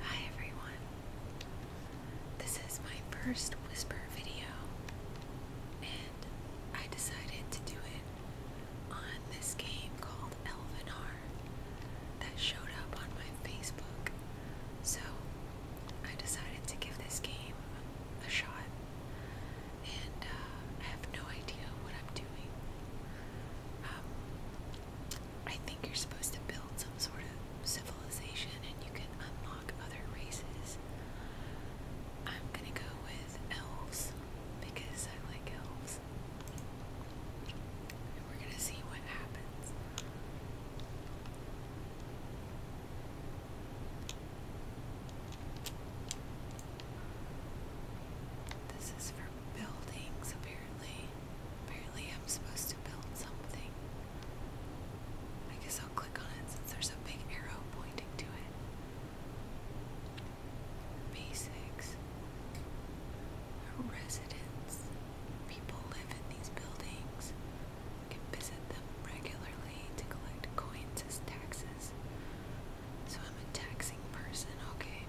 Hi everyone. This is my first whisper video and I decided to do it on this game called Elvenar that showed up on my Facebook. So I decided to give this game a shot and uh, I have no idea what I'm doing. Um, I think you're supposed to build some sort of civilization and you can unlock other races. I'm gonna go with elves because I like elves. And we're gonna see what happens. This is for buildings, apparently. Apparently, I'm supposed to build something. I guess I'll click on it since there's a big arrow pointing to it. Basics. Residents. People live in these buildings can visit them regularly to collect coins as taxes. So I'm a taxing person, okay.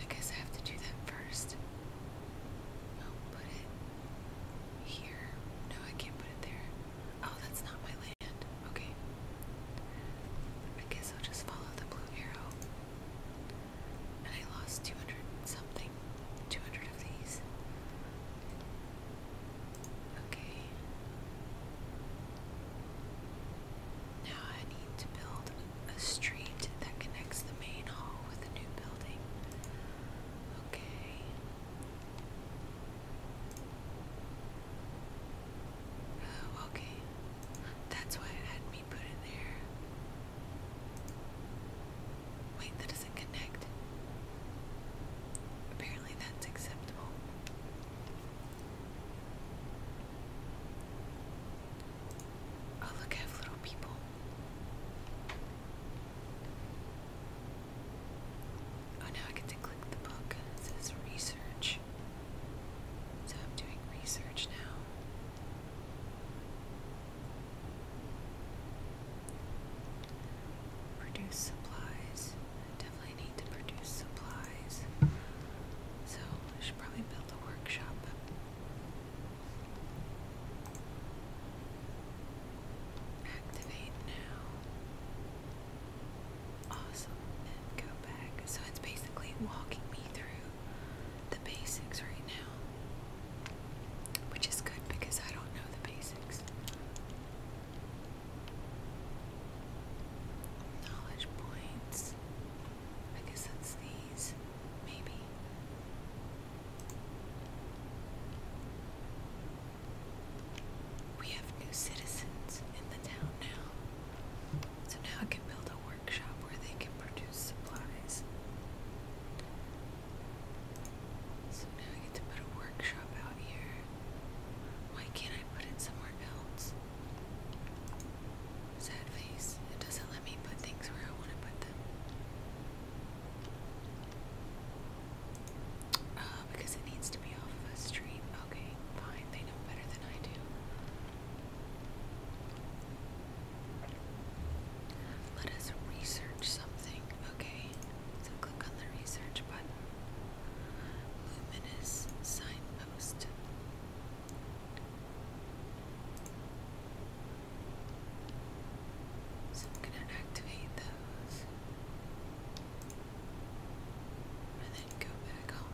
I guess I have to do that first. put it here. No, I can't put it there. Oh, that's not my land. Okay. I guess I'll just follow the blue arrow. And I lost 200 something. 200 of these. Okay. Now I need to build a street that connects the main hall with the new building. Okay. Oh, okay. That's why it had me put it there. Wait, Apparently, that's acceptable. Oh, look, I have little people. Oh, now I get to click the book. It says research. So I'm doing research now. Produce supplies. Definitely need to produce supplies. So I should probably build a workshop. Activate now. Awesome. go back. So it's basically walking me through the basics right now. Which is good because I don't know the basics. Knowledge points. I guess that's these. Maybe. We have new citizens in the town now. So now I can build a workshop where they can produce supplies. So now I get to put a workshop out here. Why can't I put it somewhere else? Sad face. It doesn't let me put things where I want to put them. Uh, because it needs to be off of a street. Okay, fine. They know better than I do. Let us research something. Okay so click on the research button. Luminous signpost. So I'm going to activate those. And then go back home.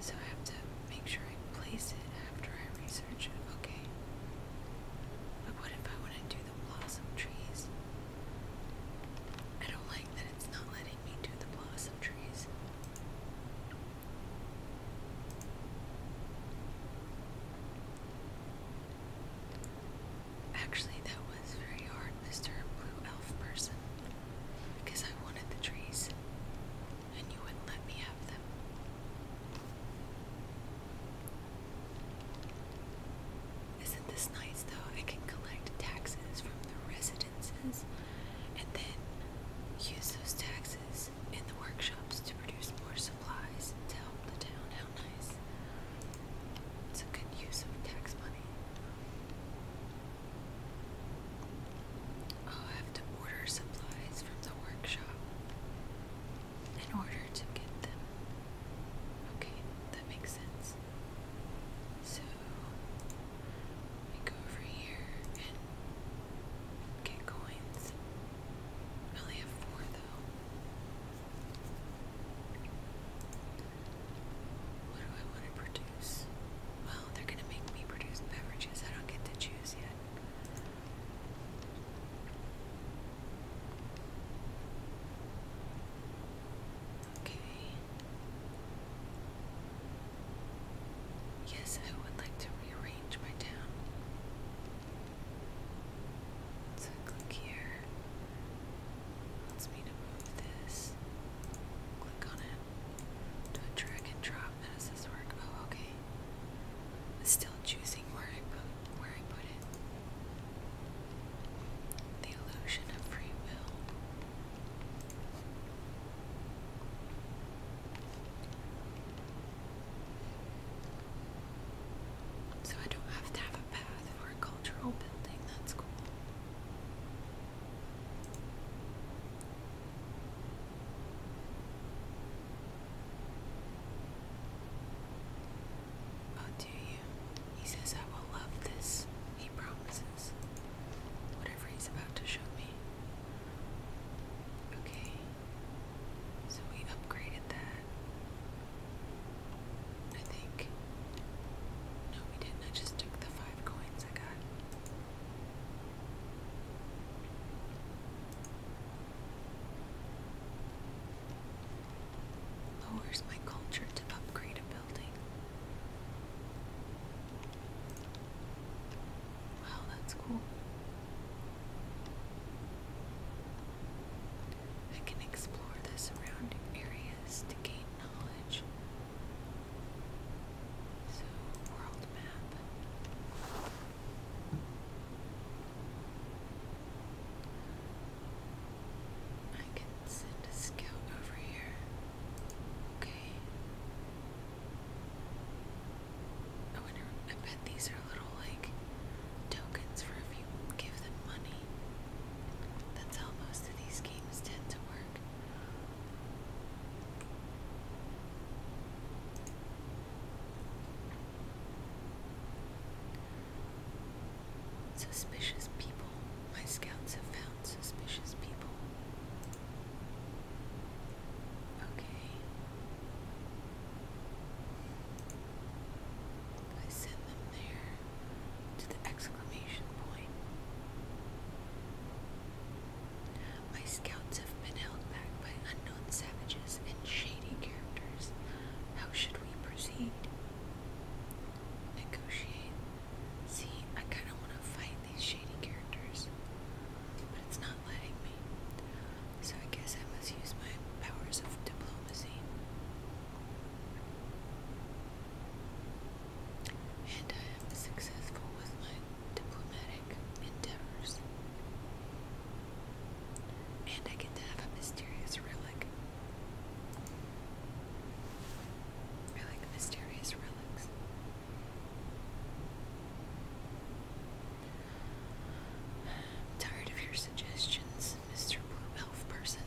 So I have to make sure I place it after I research it. Okay. But what if I want to do the blossom trees? I don't like that it's not letting me do the blossom trees. Actually, that was very hard, Mr. Blue Elf person because I wanted the trees, and you wouldn't let me have them. Isn't this nice though? I can collect taxes from the residences and then use those taxes in the workshops to produce more supplies to help the town. How nice! It's a good use of tax money. Oh, i have to order supplies from the workshop in order to get them. Okay, that makes sense. So, we go over here and get coins. I only have four though. What do I want to produce? Well, they're going to make me produce beverages. I don't get to choose yet. Okay. Yes, I would like to rearrange my town. So click here. Let's move this. Click on it. Do a drag and drop. That is this work. Oh, okay. Still choosing where I put where I put it. The illusion of free will. So I don't have to have a path for a cultural building. That's cool. Oh, do you? He says I will love this. He promises. Whatever he's about to show me. Okay. So we upgraded that. I think. No, we didn't. I just took the five coins I got. Lowers my culture to upgrade a building. Wow, that's cool. I can explore the surrounding areas to gain knowledge so, world map. I can send a scout over here. Okay. I wonder, I bet these are little, like, tokens for if you give them money. That's how most of these games tend to work. Suspicious people. My scouts have found suspicious people. Okay. I send them there to the exclamation point. My scouts have been held back by unknown savages and shady characters. How should we proceed? Negotiate. See, I kind of want to fight these shady characters, but it's not letting me. So I guess I must use my powers of diplomacy and I am successful with my diplomatic endeavors. And I get to have a mysterious relic. I like mysterious relics. tired of your suggestions, Mr. Blue person.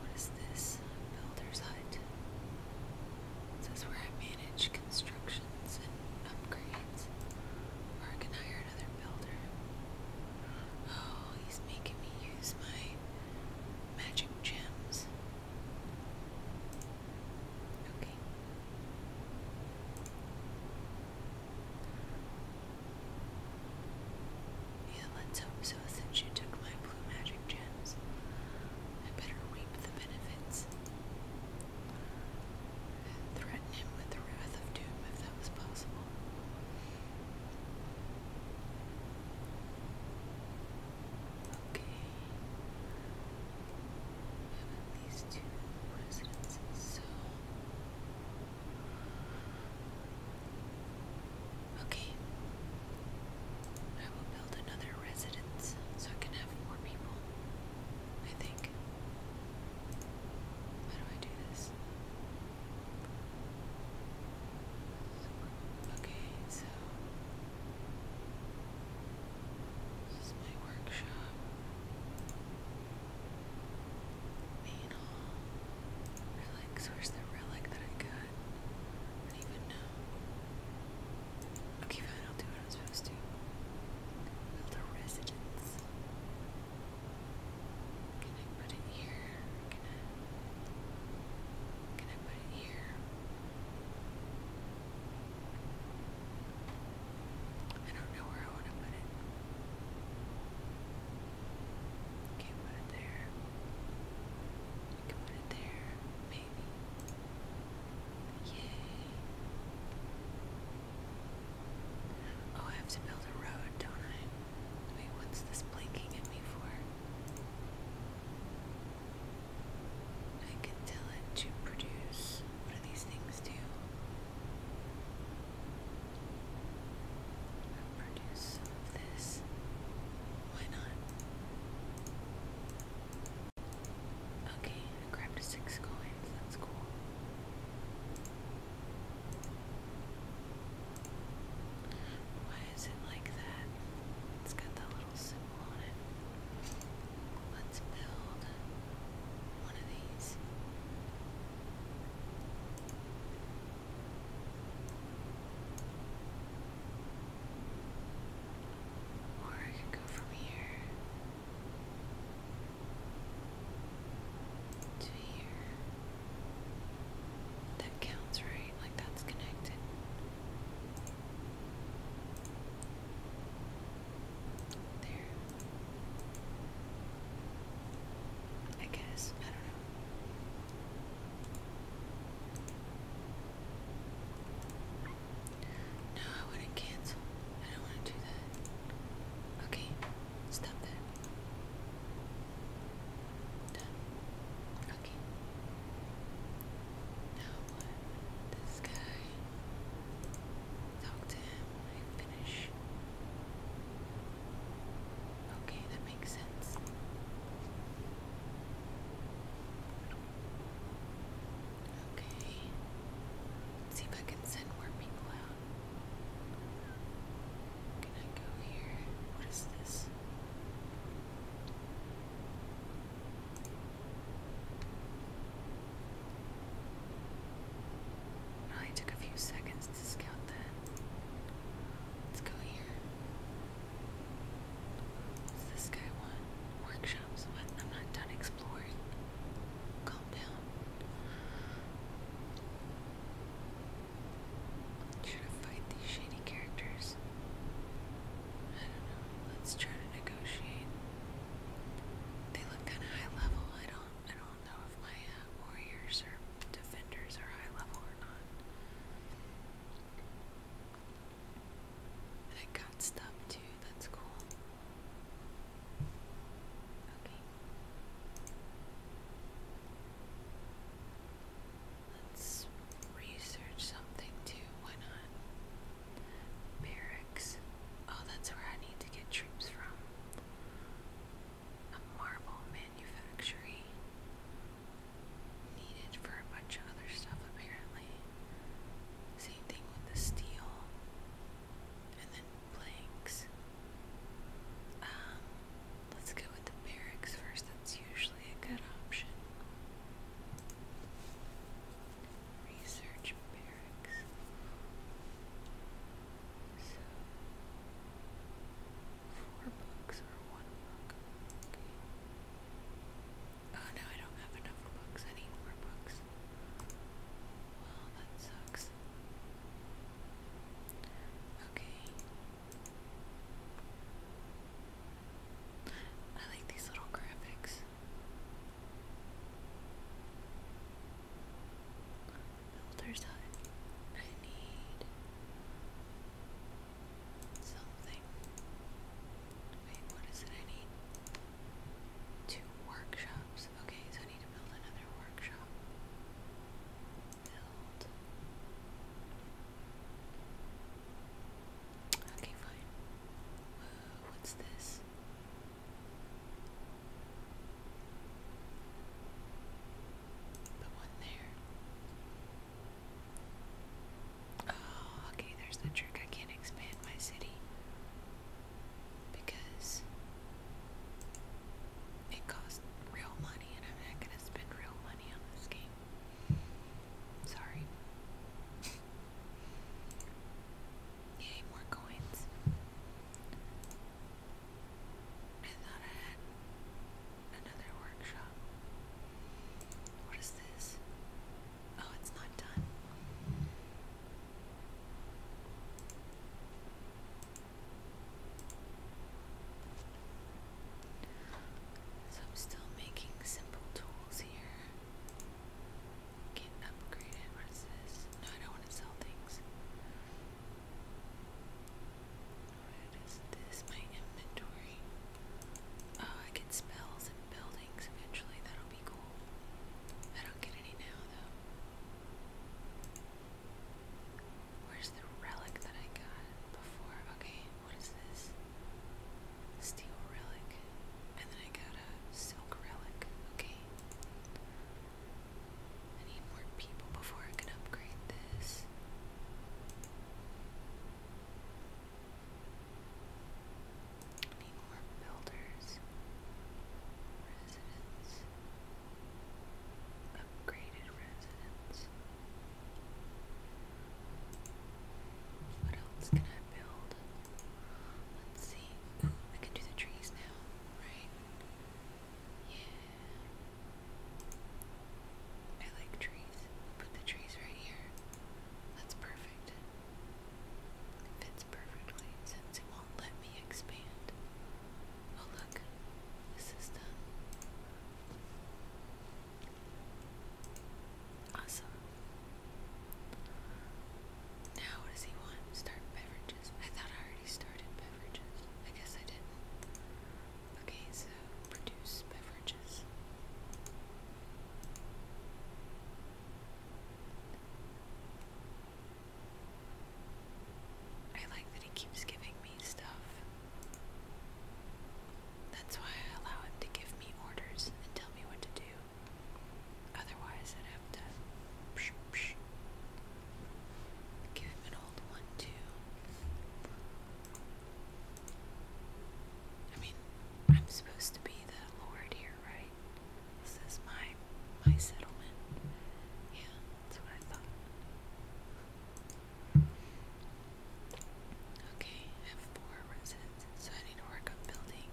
What is this? Builder's Hut. This is where I manage constructions and upgrades. Or can hire another builder. Oh, he's making me use my magic gems. Okay. Yeah, let's hope so since you took my blue magic gems. I better reap the benefits. threaten him with the wrath of doom if that was possible. Okay. have at least two residences, so Okay. I will build another residence so I can have more people. I think. How do I do this? Okay, so this is my workshop. Needle. Where's the relic that I got? I don't even know. Okay, fine. I'll do what I'm supposed to. Build a residence. Can I put it here? Can I? Can I put it here? I don't know where I want to put it. Can okay, put it there. put it there, maybe. Yay. Oh, I have to build a road, don't Wait, what's this blinking at me for? I can tell it to produce. What do these things do? of this. Why not? Okay, I grabbed six coins. That's cool. Why is it like that? It's got that little symbol on it. Let's build one of these. Or I can go from here to here. That counts, right? Like that's connected there. I guess. I don't know. No, I wouldn't cancel. I don't want to do that. Okay, stop that. Done. Okay. Now This guy. Talk to him finish. Okay, that makes sense. Okay. Let's see if I can send more people out. Can I go here? What is this? It only took a few seconds to scout that. Let's go here. What's this guy want? Workshops? What? I'm not done exploring. Calm down. Should I fight these shady characters? I don't know. Let's try to negotiate. They look kind of high level. I don't. I don't know if my uh, warriors or defenders are high level or not. I got stuff too, that's cool. Okay. Let's research something too, why not? Barracks. Oh, that's where I need to get troops from a marble manufactory needed for a bunch of other stuff apparently. Same thing with the steel and then planks. Um, let's go with the barracks first, that's usually a good option. Research barracks lyrics. So, four books or one book. Okay. Oh no, I don't have enough books. I need more books. Well, that sucks. Okay. I like these little graphics. Builder's hut. I need something. Wait, what is it I need? Two workshops. Okay, so I need to build another workshop. Build. Okay, fine. what's this? The one there. Oh, okay, there's the trick. I can't expand my city because it costs real money and I'm not gonna spend real money on this game. Sorry. Yay, more coins. I thought I had another workshop. What is this? Oh, it's not done. So I'm still making simple tools here. Get upgraded. What is this? No, I don't want to sell things. What is this? My inventory. Oh, I get spells and buildings eventually. That'll be cool. I don't get any now, though. Where's the relic that I got before? Okay, what is this? Steel relic. And then I got a silk relic. Okay, I need more people before I can upgrade this. I need more builders. Residents. Upgraded residents. What else can I build? Let's see. I can do the trees now, right? Yeah. I like trees. Put the trees right here. That's perfect. It fits perfectly it won't let me expand. Oh, look. This is done. Awesome. Now, what does he want? Start beverages. I thought I already started beverages. I guess I did Okay, so produce beverages. I like that he keeps giving me stuff. That's why I allow him to give me orders and tell me what to do. Otherwise, I'd have to give him an old one, too. I mean, I'm supposed to be the lord here, right? This is my my settlement. Yeah, that's what I thought. Okay, I four residents, so I need to work on building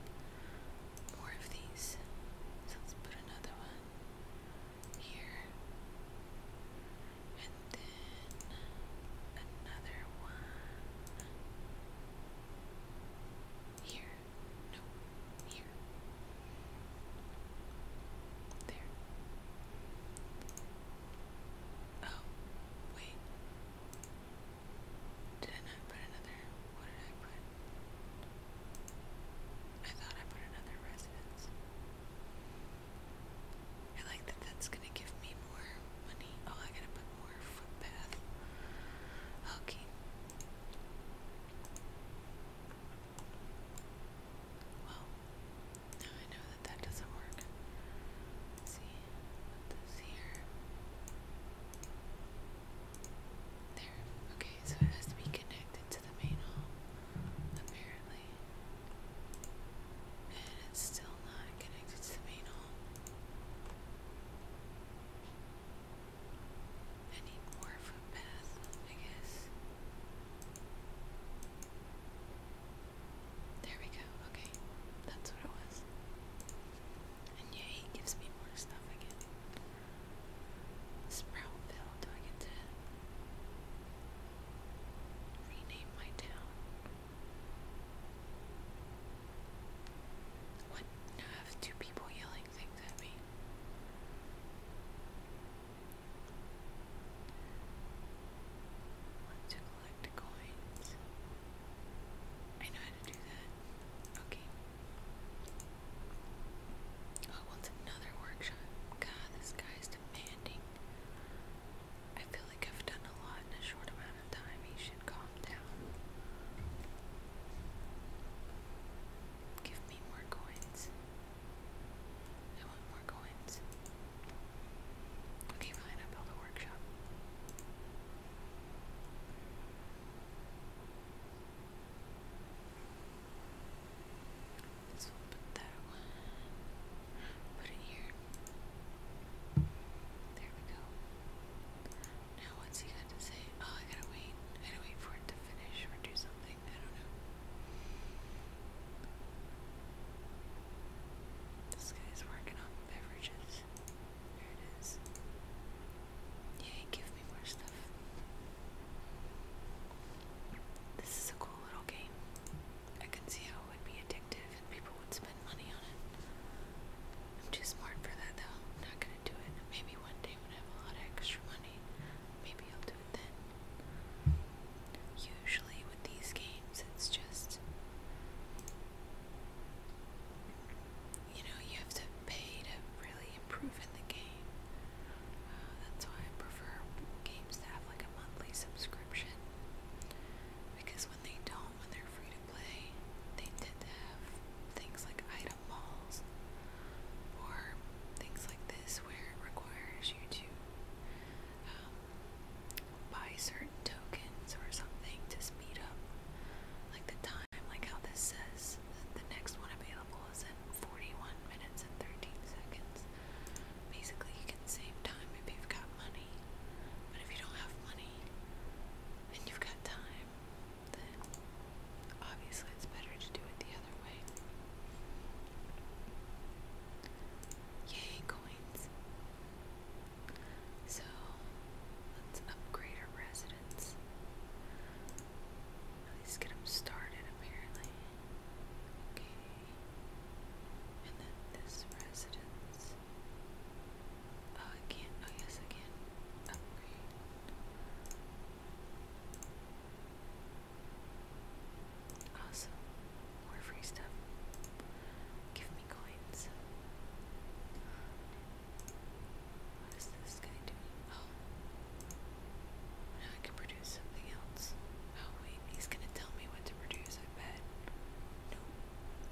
more of these. So let's put another one here. And then another one here. No, here. There. Oh, wait. Did I put another? What did I put? I thought I put another residence. I like that that's gonna give me more money. Oh, I gotta put more footpath. Okay. Well, now I know that that doesn't work. Let's see, put this here. There. Okay, so it has to be connected to the main hall, apparently. And it's still not connected to the main hall. I need more footpath, I guess. There we go. Okay, that's what it was. And yeah, he gives me more stuff again. Sproutville, do I get to rename my town? What? I have two people yelling things at me. Want to collect coins? I know how to do that. Okay. Oh, what's another workshop? God, this guy demanding. I feel like I've done a lot in a short amount of time. He should calm down. Give me more coins. I want more coins. Okay, fine, i build a workshop. So we put that one, put it here. There we go. Now what's he got to say? Oh, I gotta wait. I gotta wait for it to finish or do something. I don't know. This guy's working on beverages. There give me more stuff. This is a cool little game. I can see how it would be addictive and people would spend money on it. I'm too smart for that though. I'm not gonna do it. Maybe one day when I have a lot of extra money, maybe I'll do it then. Usually with these games, it's just you know, you have to pay to really improve in the game. Uh, that's why I prefer games to have like a monthly subscription. Because when they don't, when they're free to play, they tend to have things like item malls or things like this where it requires you to um, buy certain tokens or something to speed up like the time time, like how this says that the next one available is in 41 minutes and 13 seconds. Basically, you can save time if you've got money, but if you don't have money and you've got time, then obviously it's better to do it the other way. Yay, coins! So let's upgrade our residence evidence. At least get them started, apparently. Okay. And then this residence. Oh, I can't. Oh, yes, I can. Upgrade. Oh, awesome. More free stuff. Give me coins. What is this guy doing? Oh. Now I can produce something else. Oh, wait. He's going to tell me what to produce, I bet. No.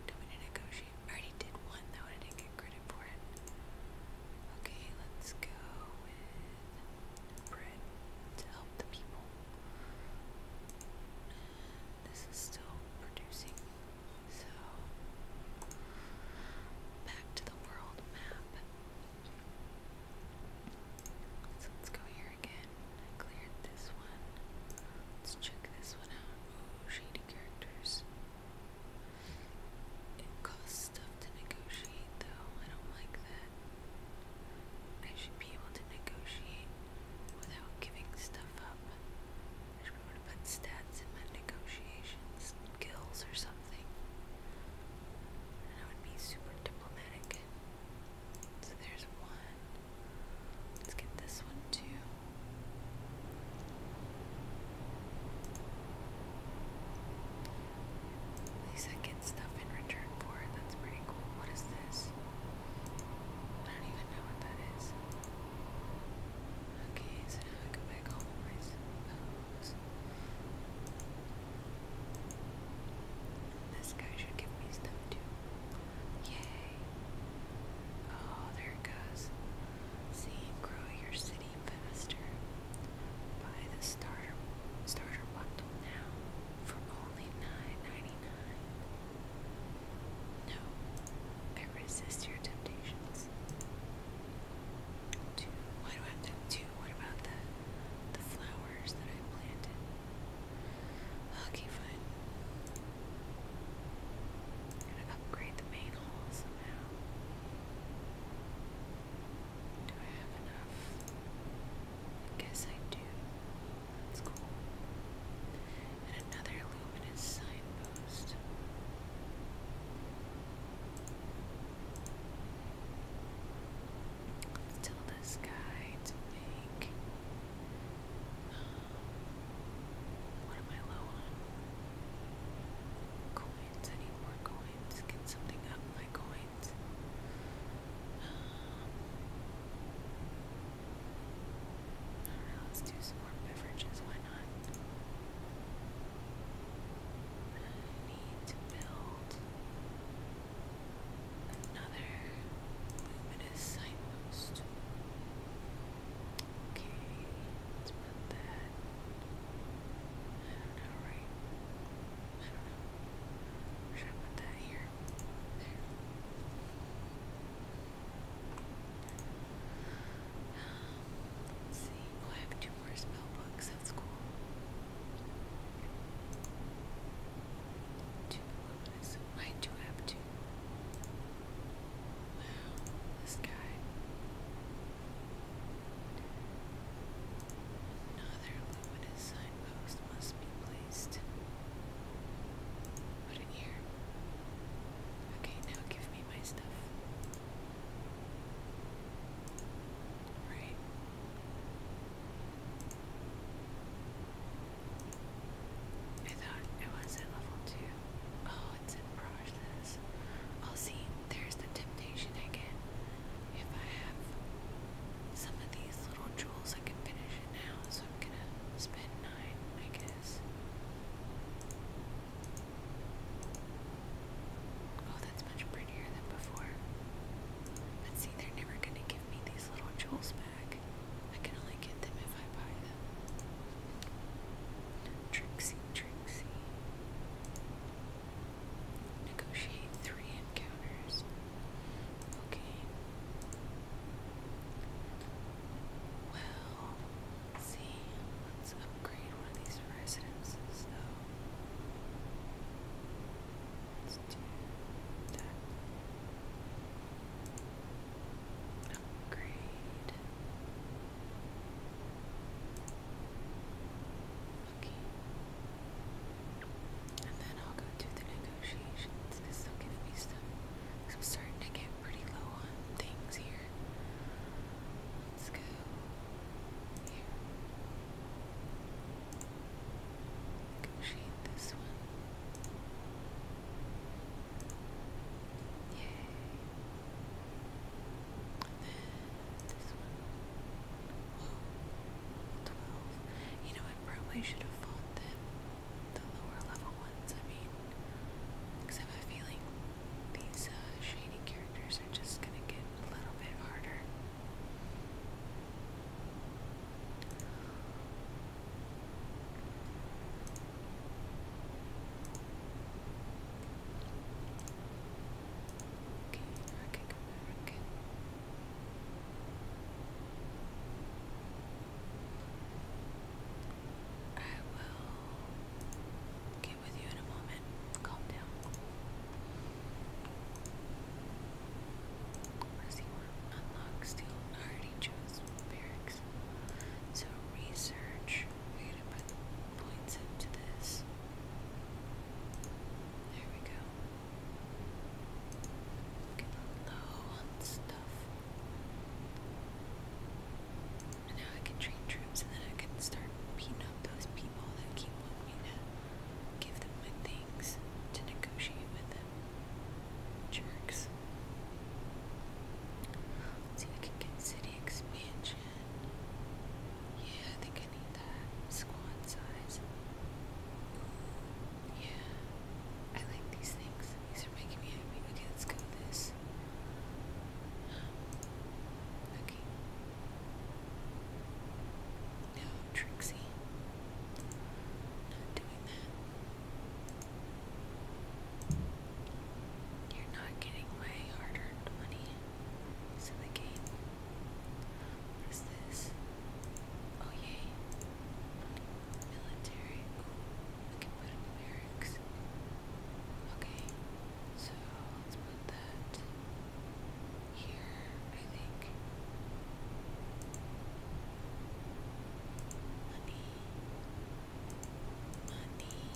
Do we need to negotiate? I already did one, though, and didn't get credit for it. Okay, let's go with bread to help the people this is still producing. So, back to the world map. So let's go here again. cleared this one. Let's check this one out. shady characters. It costs stuff to negotiate though. I don't like that. I should be able to negotiate without giving stuff up. I should be able to put stats in my negotiations skills or something. And I would be super diplomatic. So there's one. Let's get this one too. At least stuff in return for it. That's pretty cool. What is this? I don't even know what that is. Okay, so now I go back home, I suppose. This guy should give me stuff too. Yay! Oh, there it goes. See, grow your city faster. Buy the starter starter bundle now for only nine ninety nine. No, I resist your temptations. Two. Why do two? What about the the flowers that I planted? Okay, fine. upgrade the main hall somehow. Do I have enough? I guess I do. That's cool and another luminous signpost. Let's tell to make. what am um, I low on? Coins. I more coins. Get something up my coins. Um, let's do some more beverages, why not? I need to build another luminous signpost. Okay, let's put that. I Should I put that here? Oh, I have two more spell books. That's cool. Two luminous. I do have two. Wow, this guy. Another luminous signpost must be placed. Put it here. Okay, now give me my stuff. Right. I thought it was at level two. Oh, it's in process. I'll see. There's the temptation again. If I have some of these little jewels, I can finish it now. So I'm gonna spend I Oh, that's much prettier than before. But see, they're never gonna give me these little jewels back. I can only get them if I buy them. Trixie, Trixie. Negotiate three encounters. Okay. Well, let see. Let's upgrade one of these residences, though. Let's do that. Upgrade. Okay. And then I'll go do the negotiations because will give me some i I'm starting to get pretty low on things here. Let's go here. Negotiate this one. Yay. this one. 12. You know, I probably should have fought them the lower level ones, I mean, because I have a feeling these uh, shady characters are just gonna get a little bit harder. Okay, okay, okay, okay. I will get with you in a moment. Calm down. What does he I already chose barracks. So research. We're to put points into this. There we go. Get low on stuff. And now I can train troops and then I can start beating up those people that keep wanting me to give them my things, to negotiate with them. Jerks. see if I can get city expansion. Yeah, I think I need that. Squad size. yeah. I like these things. These are making me happy. Okay, let's go with this. Okay. No, Trixie. Not doing that. You're not getting my hard-earned money. So the game. What is this? Oh yay. Military. Okay, so let's put that here, I think. Money. Money.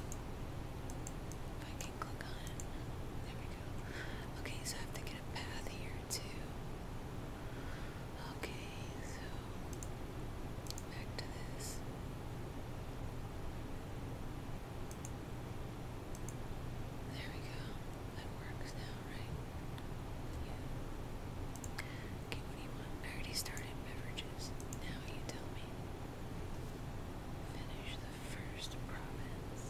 If I can click on it. There we go. Okay, so I have to get a path here too. Okay, so back to this. There we go. That works now, right? Okay, what do you want? I already started beverages. Now you tell me. Finish the first province.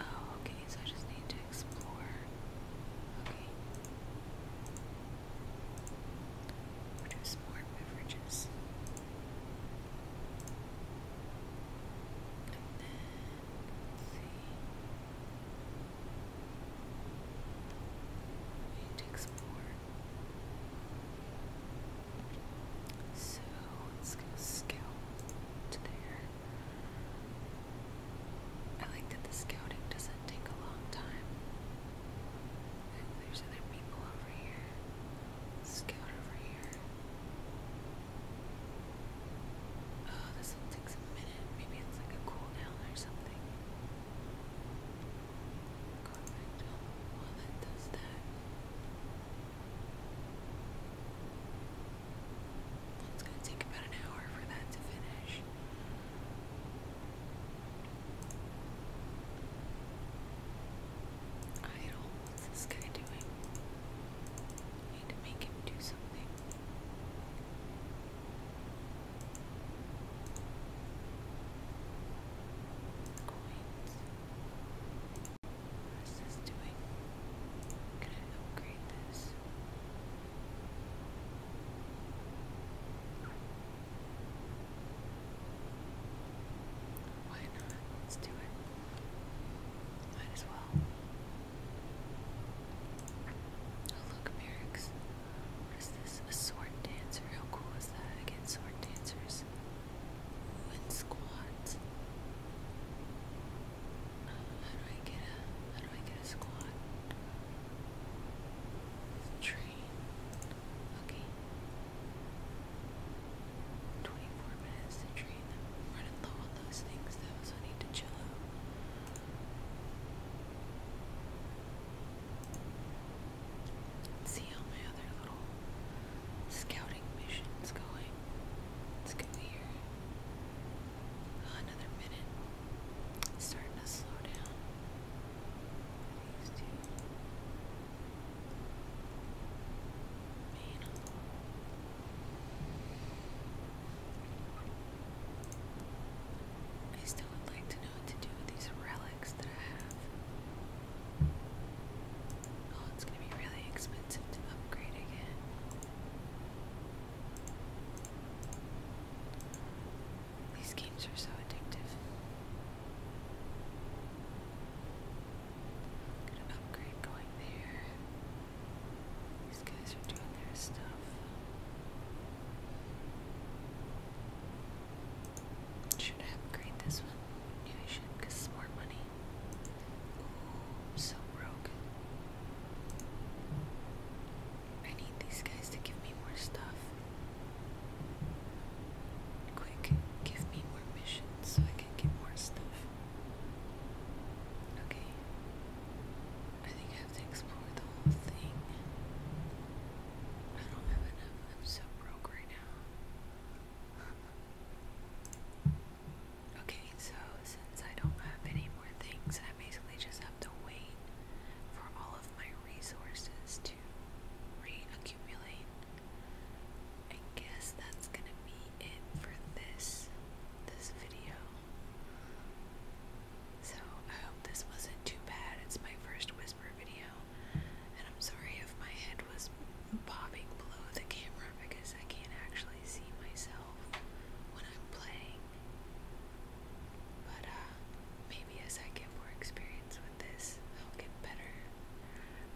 Oh, okay, so I just need to explore. Okay. Produce more beverages. And then, let's see. We need to explore. So, let's go scout to there. I like that the scouting doesn't take a long time. there's other people over here. Scout over here. Oh, this one takes a minute. Maybe it's like a cooldown or something. Convict. Oh, well, that does that. It's gonna take about an hour for that to finish. Idle, what's this guy doing? need to make him do something. Coins. What is doing? Can I upgrade this? Why not? Let's do it. Might as well. Oh look, Merrick's. What is this? A sword dancer. How cool is that? I get sword dancers. Ooh, squats. How do I get a how do I get a squat? Train. Okay. Twenty-four minutes to train running low on those things though, so need to chill out. see how my other little scouting mission's going. Let's go here. Another minute. starting to slow down. These two. Man. I still would like to know what to do with these relics that I have. Oh, it's gonna be really expensive to upgrade again. These games are so addictive. Got an upgrade going there. These guys are doing their stuff. Should I upgrade this one? Yeah, I should, because it's more money. Ooh, so broke. I need these guys to give me more stuff. Quick, give me more missions so I can get more stuff. Okay. I think I have to explore the whole thing. I don't have enough. I'm so broke right now. okay, so since I don't have any more things, I basically just have to wait for all of my resources to accumulate. I guess that's gonna be it for this this video. So I hope this wasn't too bad. It's my first whisper video, and I'm sorry if my head was bobbing below the camera because I can't actually see myself when I'm playing. But uh, maybe as I get more experience with this, I'll get better.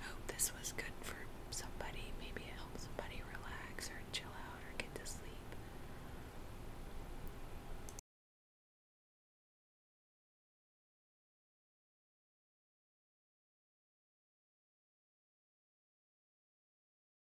I hope this was good for somebody. Maybe it helps somebody relax or chill out or get to sleep.